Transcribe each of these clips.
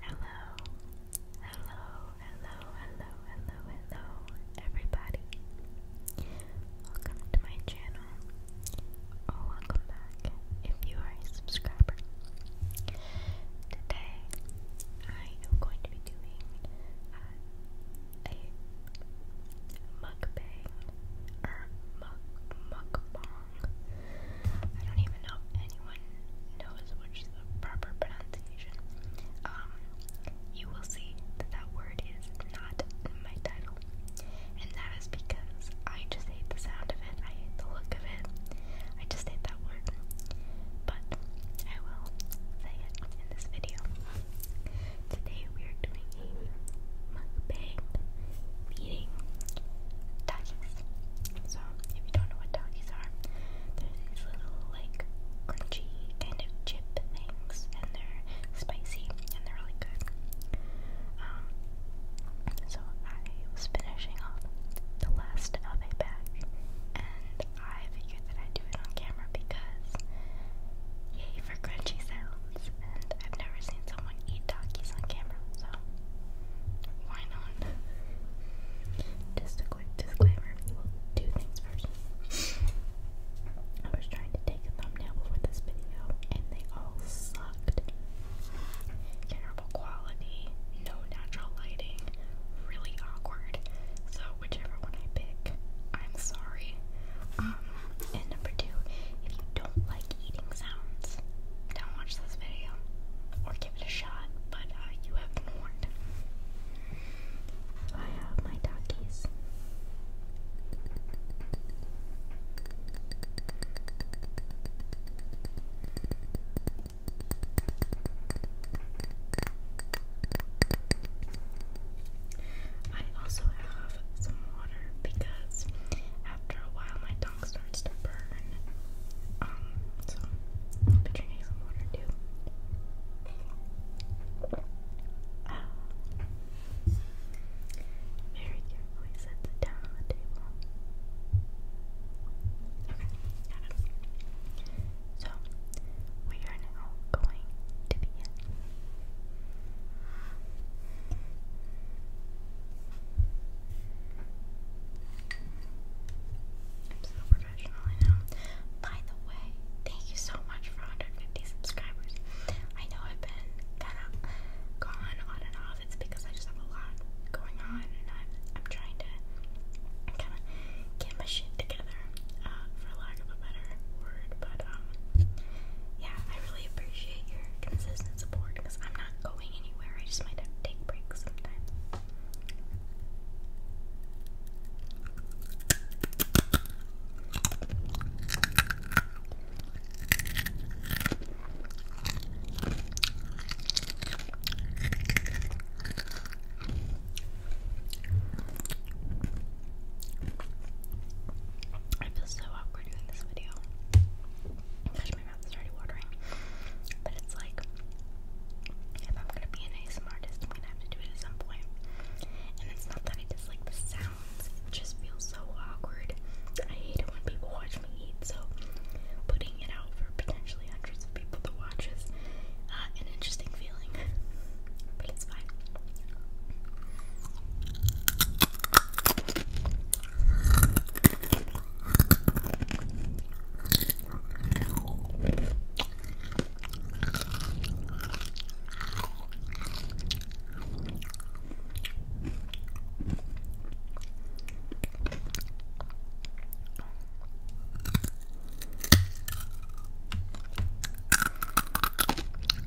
Hello, hello, hello, hello, hello, hello, everybody. Welcome to my channel, or oh, welcome back if you are a subscriber. Today, I am going to be doing uh, a mukbang or muk mukbang I don't even know if anyone knows which proper pronunciation. Um, you will see that that word is not my title, and that is because I just hate the sound of it. I hate the look of it. I just hate that word. But I will say it in this video. Today we are doing a mukbang eating Takis. So if you don't know what Takis are, they're these little like crunchy kind of chip things, and they're spicy and they're really good. Um, so I was finishing off the last of a bag, and I figured that I'd do it on camera because yay for crunchy sounds, and I've never seen someone eat Takis on camera, so why not? Just a quick disclaimer. two things first. I was trying to take a thumbnail before this video, and they all sucked. Terrible quality, no natural lighting, really awkward. So whichever one I pick, I'm sorry. Um, and number two, if you don't like eating sounds, don't watch this video or give it a shot, but uh, you have warned. I have my doggies. I also have some water because after a while my tongue starts to burn. Um, so I'll be drinking some water too. Ah. Very carefully set it down on the table. Okay, So we are now going to begin I'm so professional, I By the way, thank you so much for 150 subscribers. I know I've been kind of gone on and off. It's because I just have a lot going on, and I'm trying to kind of get my shit together, uh, for lack of a better word. But um, yeah, I really appreciate your consistent support because I'm not going anywhere. I just might have to take breaks sometimes. I feel so awkward doing this video. my mouth is already watering. But it's like, if I'm gonna be an ASMR artist, have to do it at some point. And it's not that I dislike the sounds, it just feels so awkward. I hate it when people watch me eat, so putting it out for potentially hundreds of people to watch is uh, an interesting feeling but it's fine.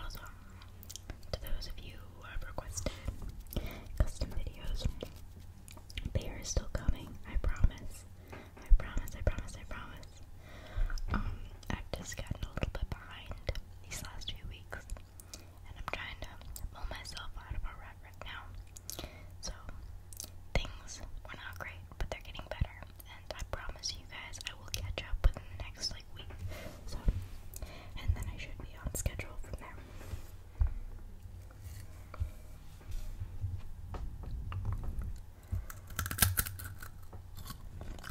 Also, to those of you who have requested custom videos, they are still coming, I promise. I promise, I promise, I promise. Um, I've just gotten a little bit behind these last few weeks and I'm trying to pull myself out of a rut right now. So, things were not great, but they're getting better, and I promise you guys I will catch up within the next like week. So, and then I should be on schedule from there.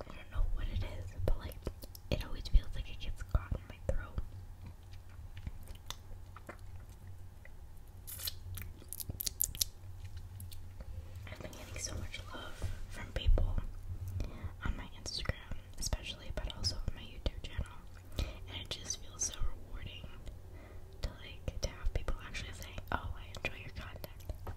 I don't know what it is, but like it always feels like it gets caught in my throat. I've been getting so much love from people on my Instagram, especially, but also on my YouTube channel, and it just feels so rewarding to like to have people actually say, "Oh, I enjoy your content."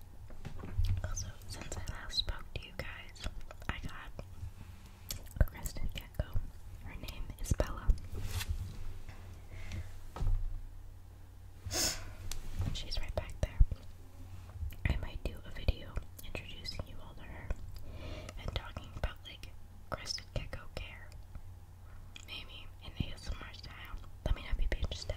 Also, since I last spoke to you guys, I got a crested gecko. Her name is Bella. She's right back there. I might do a video introducing you all to her and talking about like crested gecko care. Maybe in ASMR style. Let me know if you'd be interested.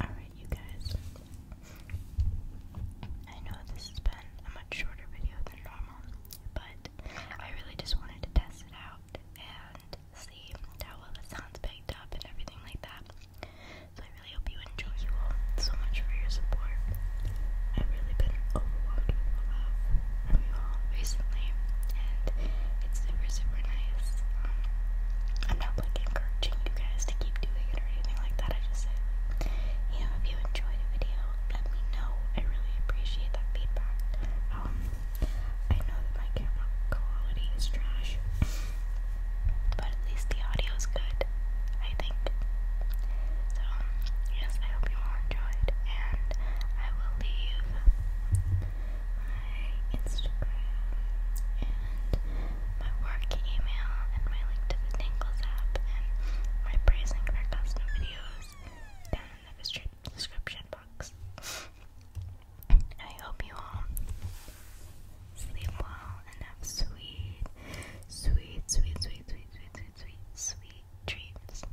Alright, you guys. I know this has been a much shorter video than normal, but I really just wanted to test it out and see how well the sounds picked up and everything like that. So I really hope you enjoy. You so much for your support. i really been overwhelmed recently, and it's super, super nice. Um, I'm not like encouraging you guys to keep doing it or anything like that. I just say, you know, if you enjoyed a video, let me know. I really appreciate that feedback. Um, I know that my camera quality is trash, but at least the audio is good, I think. So, um, yes, I hope you all enjoyed, and I will leave my Instagram and my work email and my link to the app and my praise custom videos down in the description box. I hope you all sleep well and have sweet, sweet, sweet, sweet, sweet, sweet, sweet, sweet dreams.